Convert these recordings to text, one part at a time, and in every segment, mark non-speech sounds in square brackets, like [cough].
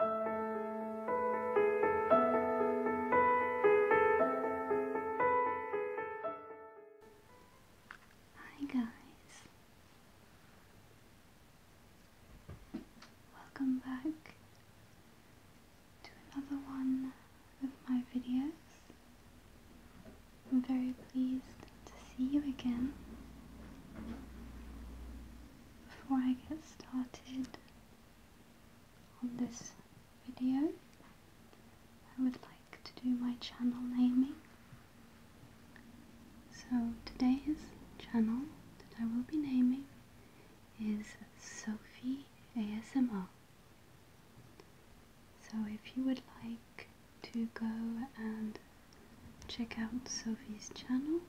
Hi guys. Welcome back to another one of my videos. I'm very pleased to see you again. Before I get started on this video, I would like to do my channel naming. So today's channel that I will be naming is Sophie ASMR. So if you would like to go and check out Sophie's channel.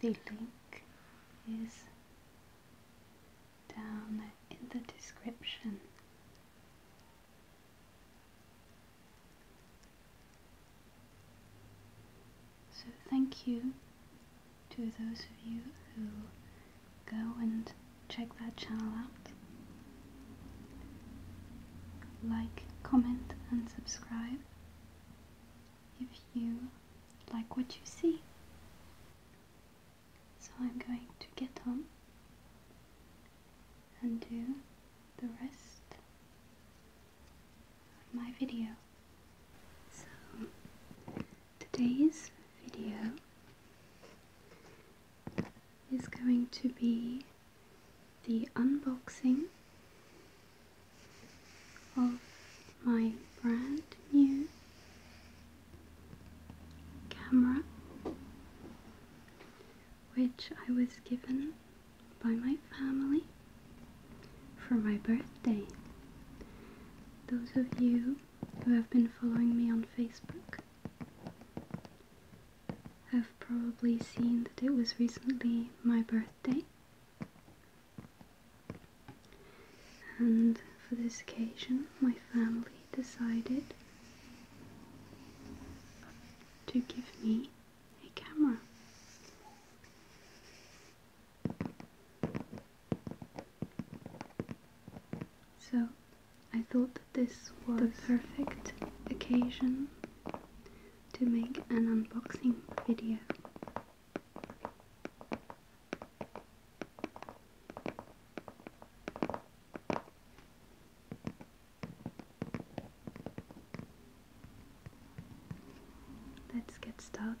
The link is down in the description. So, thank you to those of you who go and check that channel out. Like, comment, and subscribe if you like what you see. So I'm going to get on and do the rest of my video. So today's video is going to be the unboxing of my brand new camera, which I was given by my family for my birthday. Those of you who have been following me on Facebook have probably seen that it was recently my birthday. And for this occasion, my family decided to give me a camera. So I thought that this was the perfect occasion to make an unboxing video. Let's get started.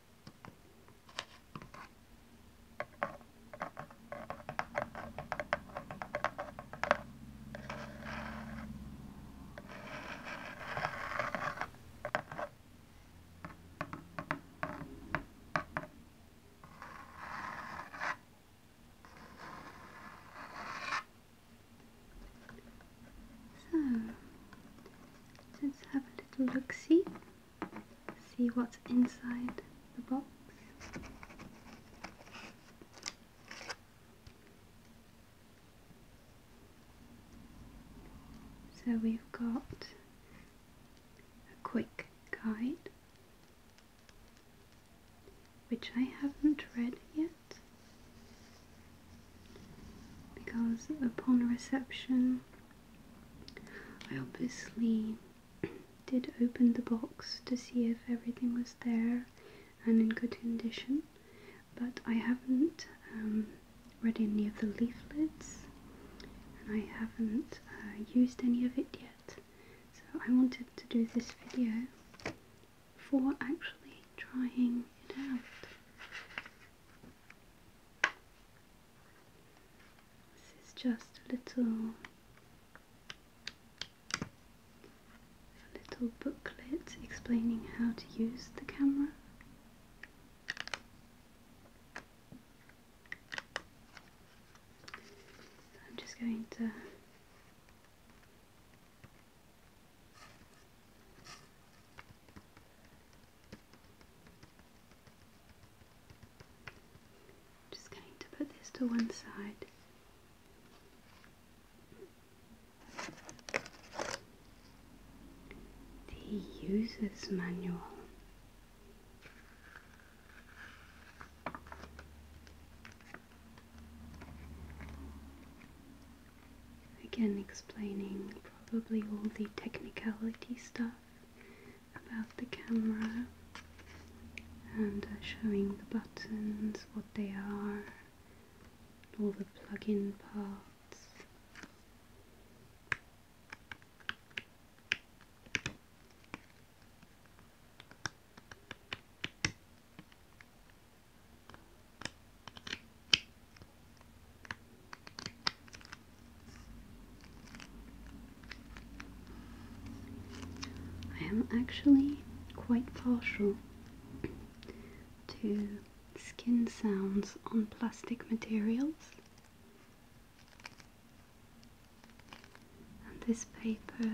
So hmm. let's have a little look see see what's inside the box. So we've got a quick guide, which I haven't read yet, because upon reception I obviously did open the box to see if everything was there and in good condition, but I haven't um, read any of the leaflets and I haven't uh, used any of it yet. So I wanted to do this video for actually trying it out. This is just a little little booklet explaining how to use the camera. I'm just going to just going to put this to one side. The user's manual. Again, explaining probably all the technicality stuff about the camera and uh, showing the buttons, what they are, all the plug-in parts. I am actually quite partial to skin sounds on plastic materials. And this paper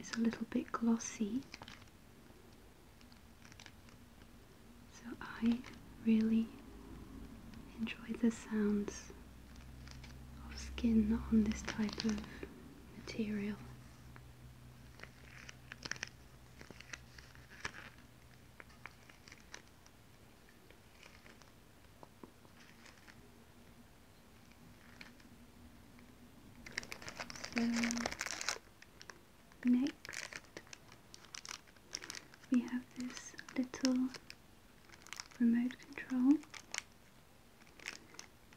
is a little bit glossy. So I really enjoy the sounds of skin on this type of material. So next we have this little remote control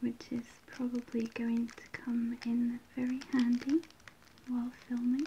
which is probably going to come in very handy while filming.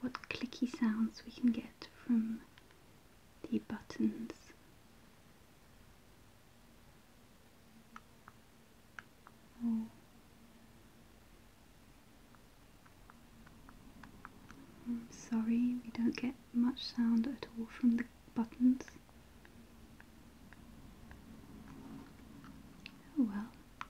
what clicky sounds we can get from the buttons. Oh. sorry, we don't get much sound at all from the buttons. Oh well,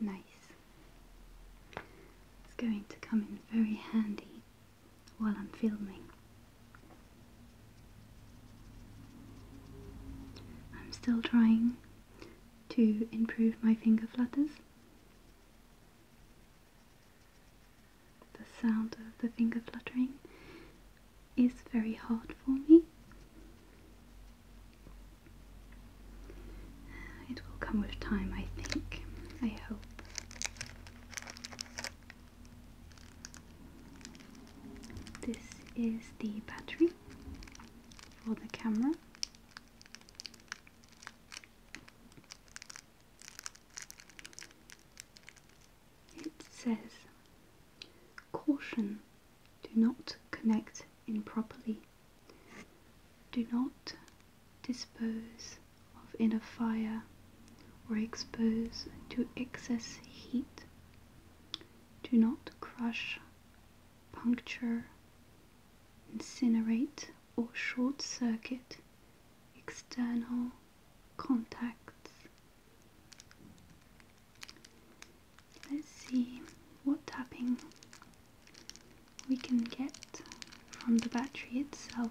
Nice. It's going to come in very handy while I'm filming. I'm still trying to improve my finger flutters. The sound of the finger fluttering is very hard for me. It will come with time, I think. I hope. This is the battery for the camera. It says caution do not connect improperly, do not dispose of inner fire or expose to excess heat, do not crush, puncture, incinerate or short circuit external contacts let's see what tapping we can get from the battery itself.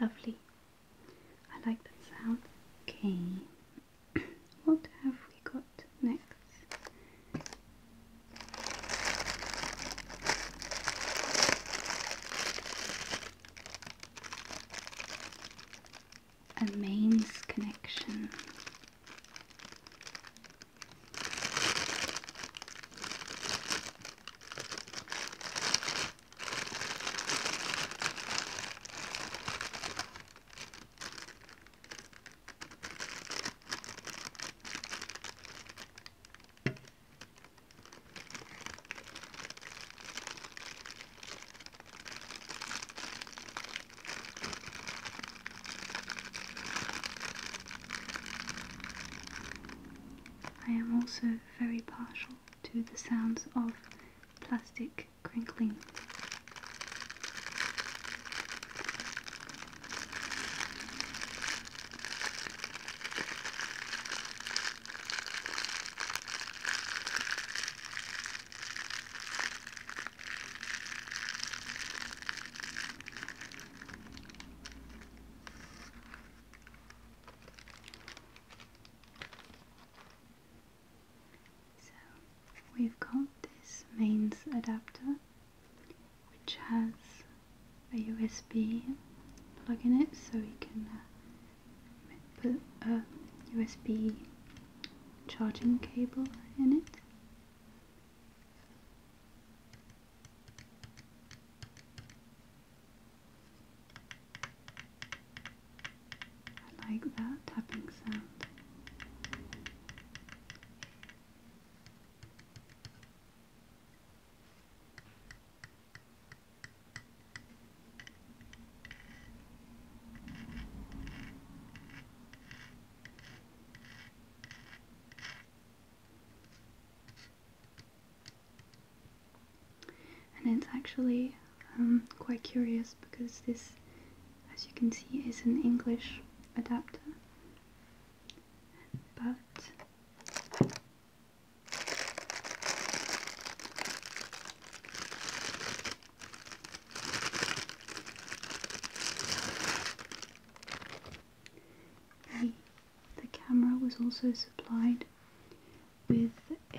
Lovely. I like that sound. Okay. [clears throat] what have we got next? a mains connection. I am also very partial to the sounds of plastic crinkling. So we've got this mains adapter which has a USB plug in it so you can uh, put a USB charging cable in it. I like that tapping sound. And it's actually um, quite curious because this, as you can see, is an English adapter. But the camera was also supplied with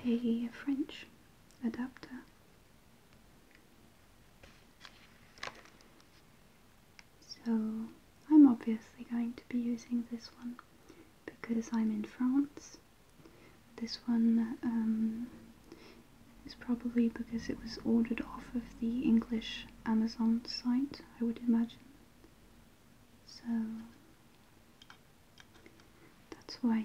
a French adapter. So I'm obviously going to be using this one because I'm in France this one um, is probably because it was ordered off of the English Amazon site, I would imagine. So that's why.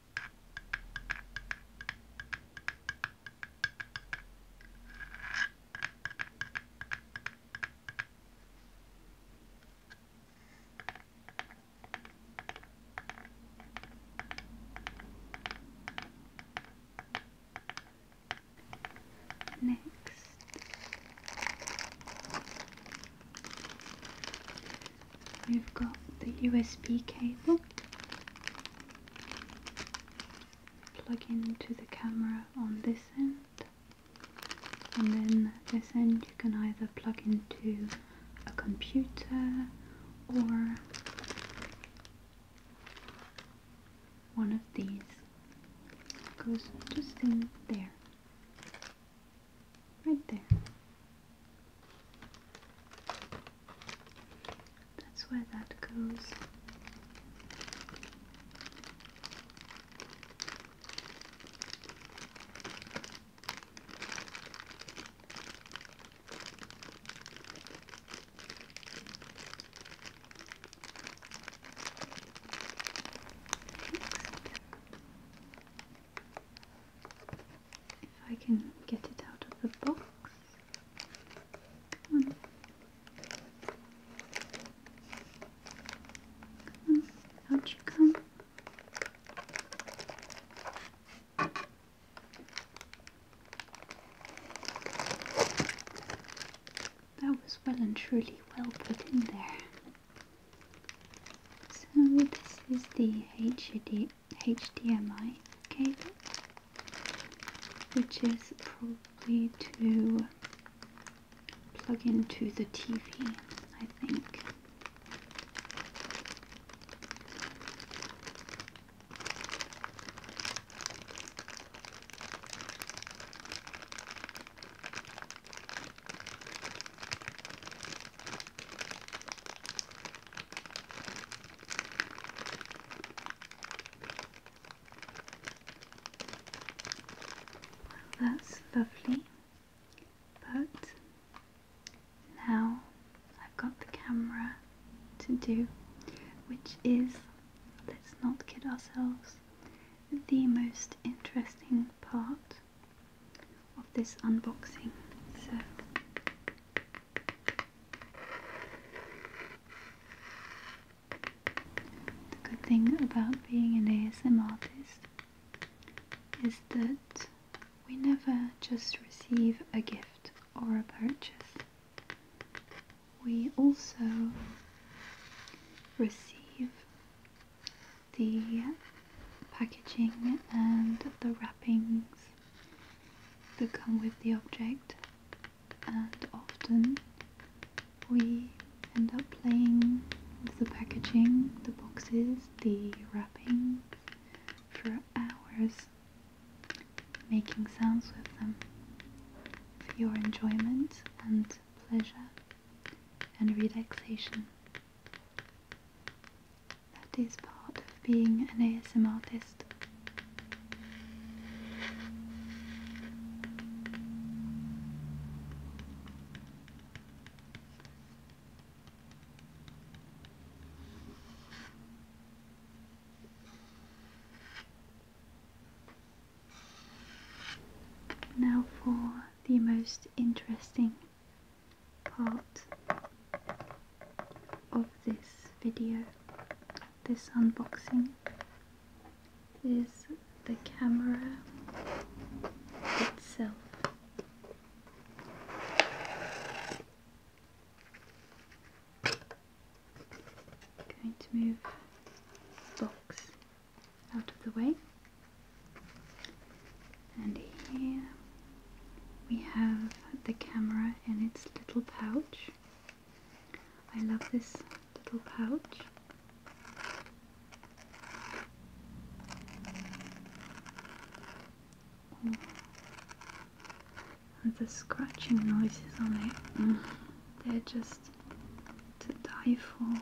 Next, we've got the USB cable plug into the camera on this end and then this end you can either plug into a computer or one of these it goes just in there right there that's where that goes. If I can get it out of the box. Come on. you come. That was well and truly well put in there. So this is the HDD. HDMI cable, which is probably to plug into the TV, I think that's lovely, but now I've got the camera to do, which is let's not kid ourselves, the most interesting part of this unboxing. So the good thing about being an ASM artist is that we never just receive a gift or a purchase. We also receive the packaging and the wrappings that come with the object and often we end up playing with the packaging, the boxes, the wrapping for hours making sounds with them for your enjoyment and pleasure and relaxation. That is part of being an ASM artist. Now for the most interesting part of this video, this unboxing, is the camera itself. going to move box out of the way and here we have the camera in its little pouch. I love this little pouch. Ooh. And the scratching noises on it, mm, they're just to die for.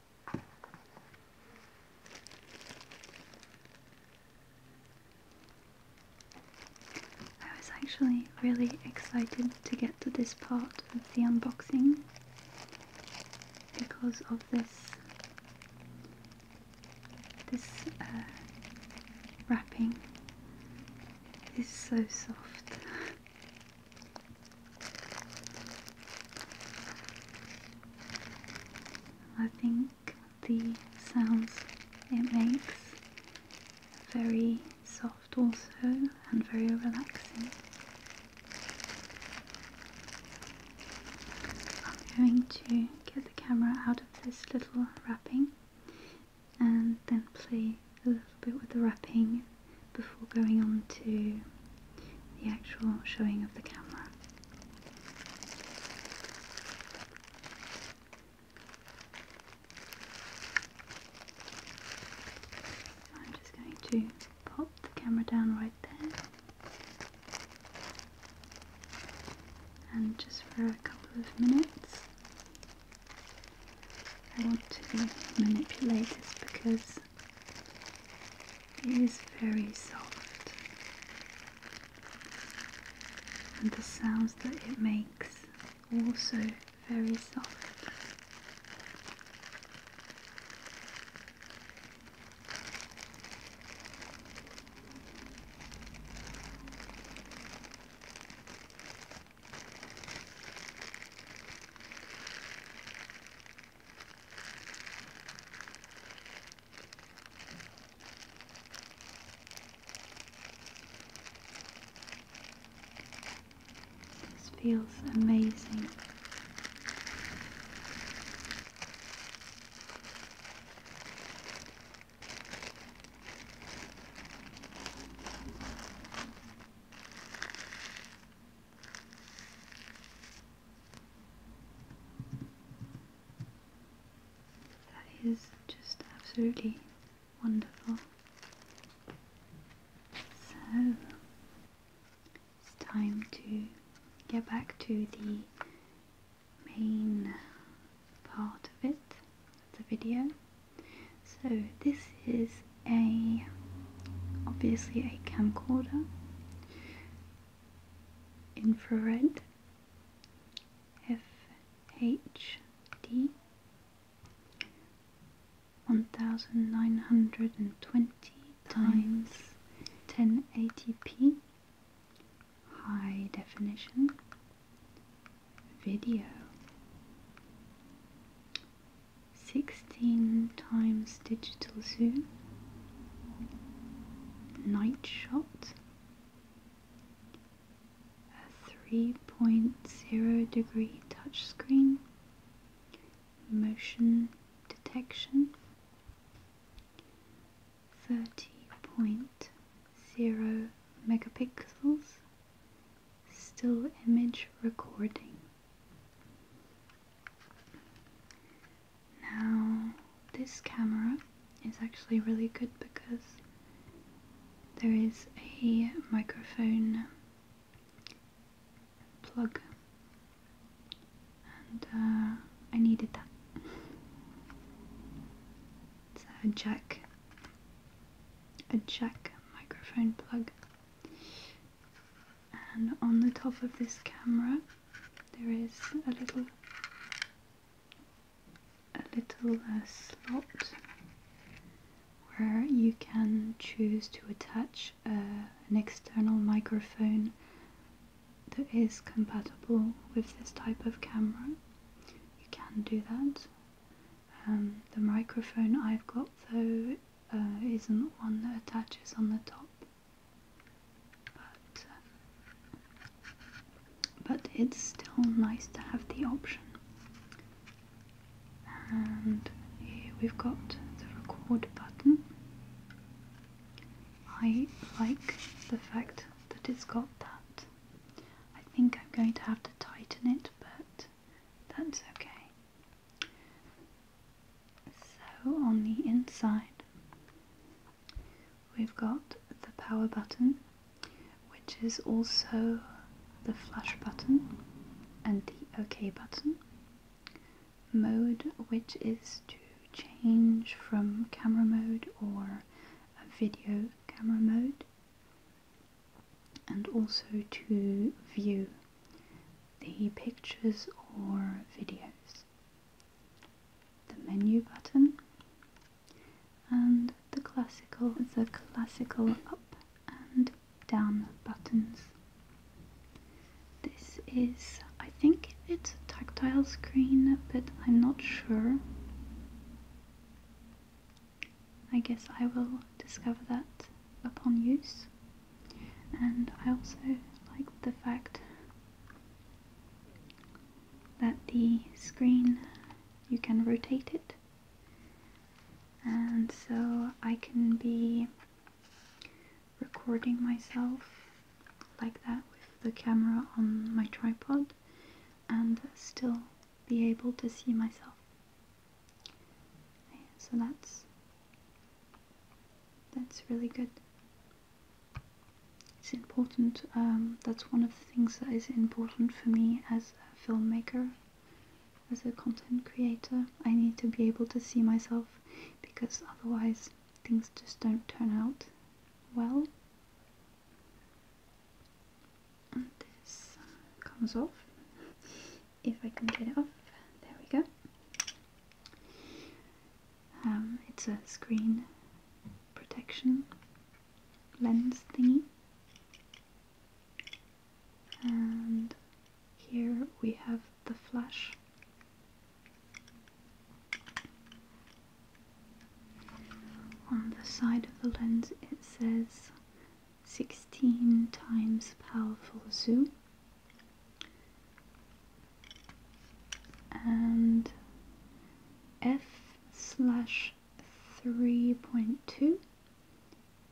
I was actually really excited to get to this part of the unboxing because of this this uh, wrapping is so soft. I think the sounds it makes very soft also and very relaxing. I'm going to get the camera out of this little wrapping and then play a little bit with the wrapping before going on to the actual showing of the camera. I'm just going to pop the camera down right there and just for a couple of minutes I want to manipulate this because it is very soft, and the sounds that it makes also very soft. This feels amazing. That is just absolutely wonderful. So it's time to get back to the main part of it, the video. So this is a obviously a camcorder infrared FHD 1920 times 1080p high definition video 16 times digital zoom Night Shot, a 3.0 degree touchscreen, motion detection, 30.0 megapixels, still image recording. Now, this camera is actually really good because there is a microphone plug and uh, I needed that. It's a jack, a jack microphone plug and on the top of this camera there is a little a little uh, slot where you can choose to attach uh, an external microphone that is compatible with this type of camera. You can do that. Um, the microphone I've got though uh, isn't one that attaches on the top but, it's still nice to have the option. And here we've got the record button. I like the fact that it's got that. I think I'm going to have to tighten it, but that's okay. So on the inside we've got the power button which is also the flash button and the OK button. Mode which is to change from camera mode or a video camera mode and also to view the pictures or videos the menu button and the classical the classical up and down buttons. This is I think it's a tactile screen but I'm not sure. I guess I will discover that upon use. And I also like the fact that the screen you can rotate it and so I can be recording myself like that with the camera on my tripod and still be able to see myself. So that's that's really good. It's important, um, that's one of the things that is important for me as a filmmaker, as a content creator. I need to be able to see myself because otherwise things just don't turn out well. this comes off, if I can get it off, there we go. Um, it's a screen protection lens thingy. And here we have the flash. On the side of the lens it says 16 times powerful zoom and f slash 3.2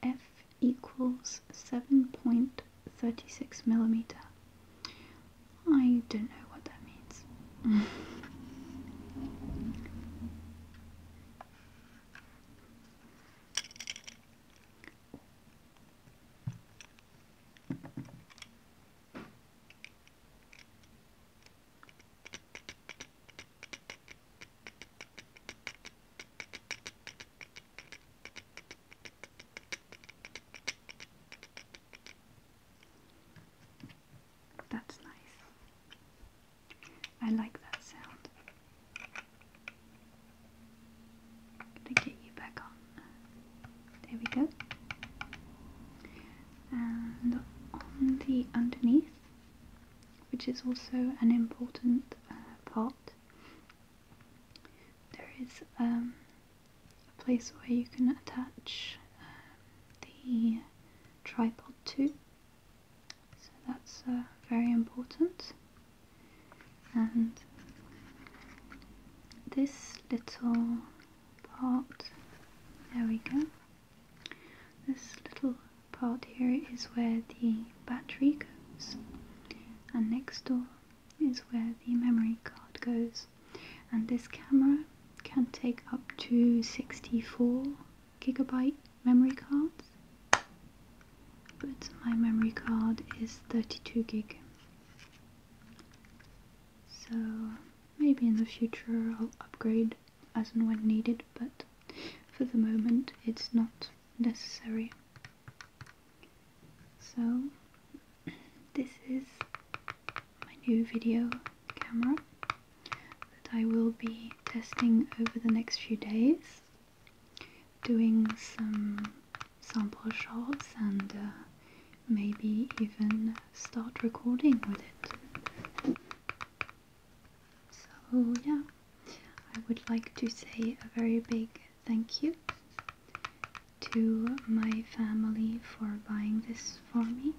f equals 7.36 millimeter I don't know what that means that's nice. I like that sound to get you back on. There we go. And on the underneath, which is also an important uh, part, there is um, a place where you can attach um, the tripod to. So that's uh, very important. And this little part, there we go, this little part here is where the battery goes and next door is where the memory card goes and this camera can take up to 64 gigabyte memory cards but my memory card is 32 gig so maybe in the future I'll upgrade as and when needed, but for the moment it's not necessary. So this is my new video camera that I will be testing over the next few days, doing some sample shots and uh, maybe even start recording with it. So, yeah, I would like to say a very big thank you to my family for buying this for me.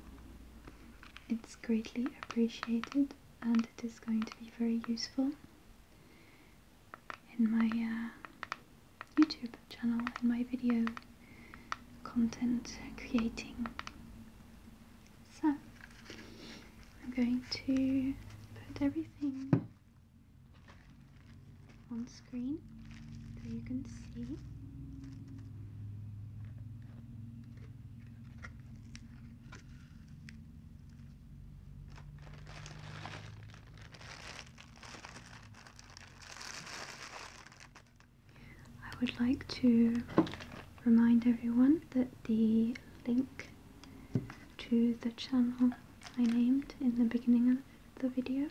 It's greatly appreciated and it is going to be very useful in my uh, YouTube channel and my video content creating. So I'm going to put everything on screen so you can see. I would like to remind everyone that the link to the channel I named in the beginning of the video,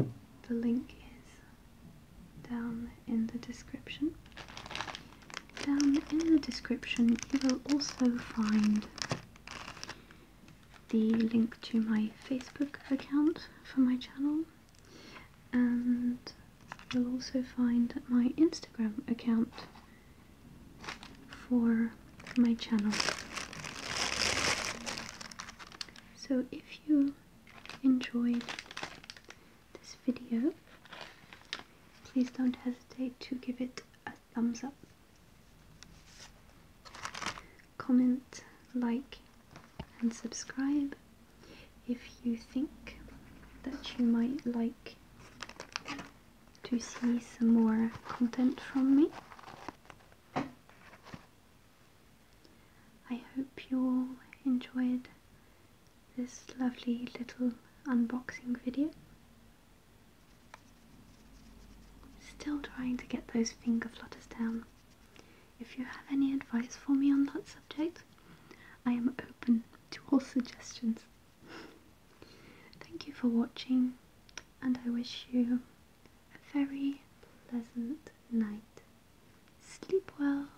the link is down in the description. Down in the description you will also find the link to my Facebook account for my channel, and you'll also find my Instagram account for my channel. So if you enjoyed this video, please don't hesitate to give it a thumbs up comment, like, and subscribe if you think that you might like to see some more content from me. I hope you all enjoyed this lovely little unboxing video. Still trying to get those finger flutters down. If you have any advice for me on that subject, I am open to all [laughs] suggestions. Thank you for watching, and I wish you a very pleasant night. Sleep well.